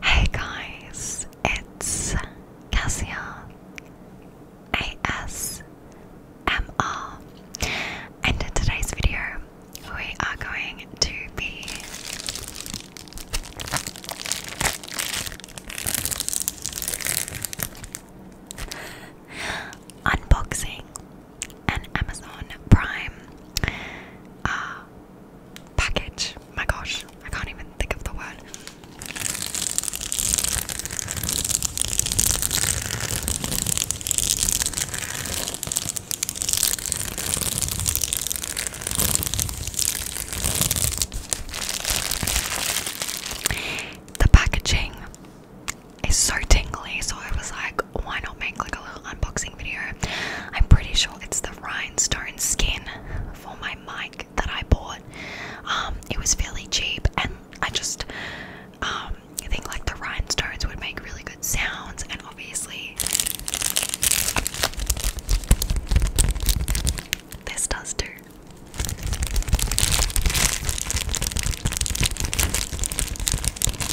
Hey guys, it's Cassia ASMR, and in today's video, we are going to be unboxing an Amazon Prime. Uh, package. My gosh, I can't even think of the word. The packaging is so tingly, so I was like, why not make like a little unboxing I'm pretty sure it's the rhinestone skin for my mic that I bought. Um, it was fairly cheap, and I just um, think like the rhinestones would make really good sounds, and obviously. This does do.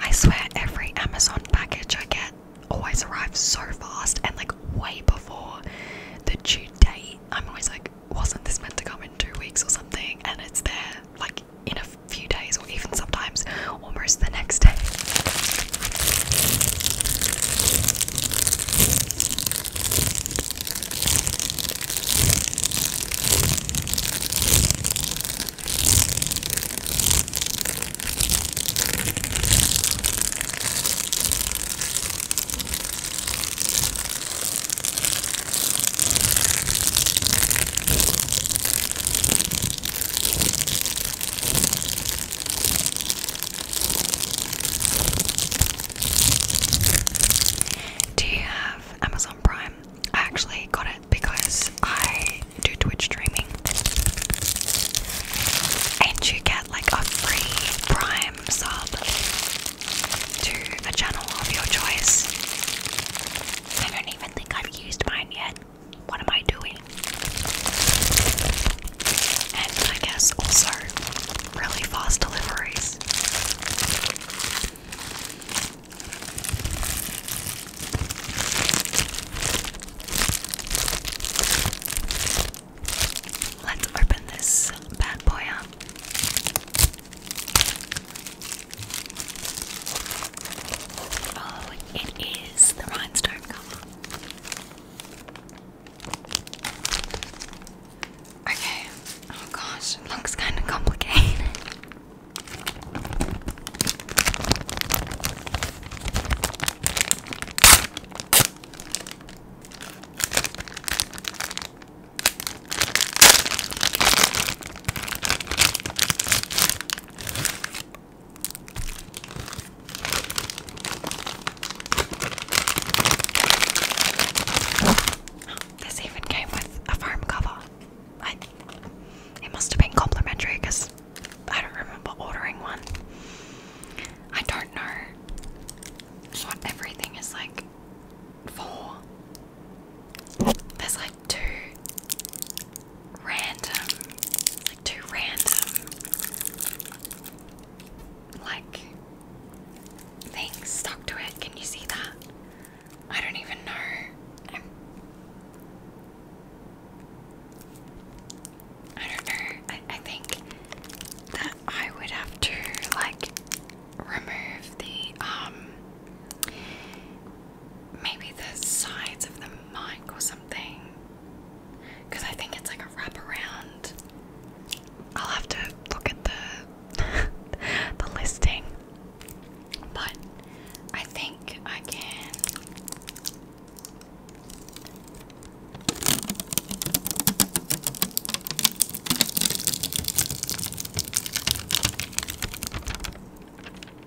I swear, every Amazon package I get always arrives so fast and like way before the due I'm always like, wasn't this meant to come in two weeks or something? And it's there, like, in a few days or even sometimes almost the next day. Do you have Amazon Prime? I actually got it because I do Twitch streaming and you get like a free Prime sub to a channel of your choice. I don't even think I've used mine yet. What am I doing? And I guess also really fast deliveries. Let's open this bad boy up. Oh, it is the rhinestone cover. Okay. Oh gosh, looks kind of complicated. This even came with a foam cover. it must have been complimentary because I don't remember ordering one. I don't know what everything is like four. There's like two random, like two random, like things stuck to it. Can you see that? I don't even know. I'm, I do not know. I, I think that I would have to like remove the um maybe the sides of the mic or something because I think it's like a wraparound. I'll have to look at the the listing. But I think I can.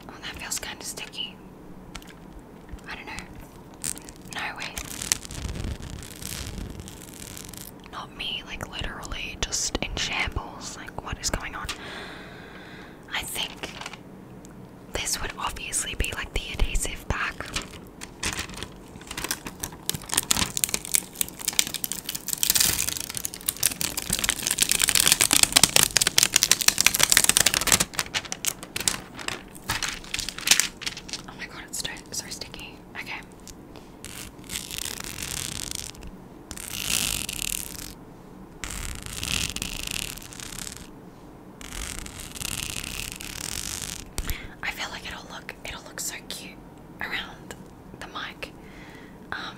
Oh, that feels kind of sticky. I don't know. No, wait. Not me, like literally just in shambles. Like, what is going on? I think this would obviously be like the adhesive back. Oh my god, it's so sticky. Okay. I feel like it'll look it'll look so cute around the mic. Um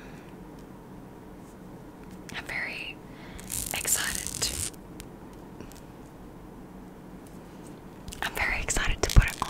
I'm very excited I'm very excited to put it on.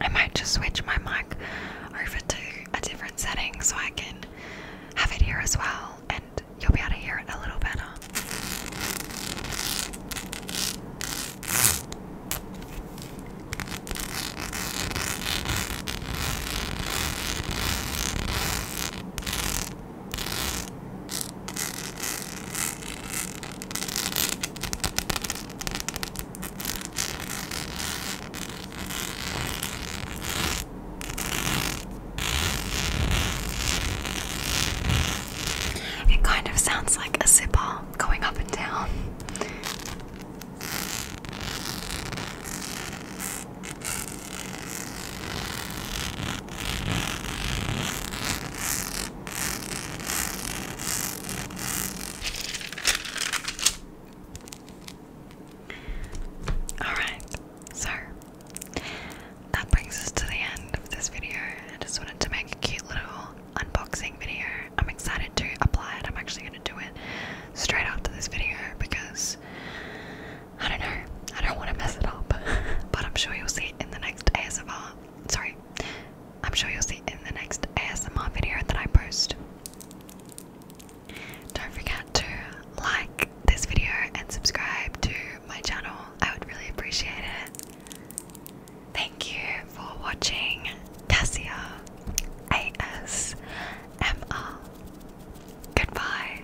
I might just switch my mic over to a different setting so I can have it here as well, and you'll be able to hear it a little better. It kind of sounds like a zipper going up and down. Alright, so that brings us to the end of this video. I just wanted to make a cute little unboxing video. I'm excited to apply it. I'm actually going to do it straight after this video because I don't know. I don't want to mess it up. but I'm sure you'll see in the next ASMR. Sorry, I'm sure you'll see in the next ASMR video that I post. Don't forget to like this video and subscribe to my channel. I would really appreciate it. Thank you for watching Cassia ASMR. Goodbye.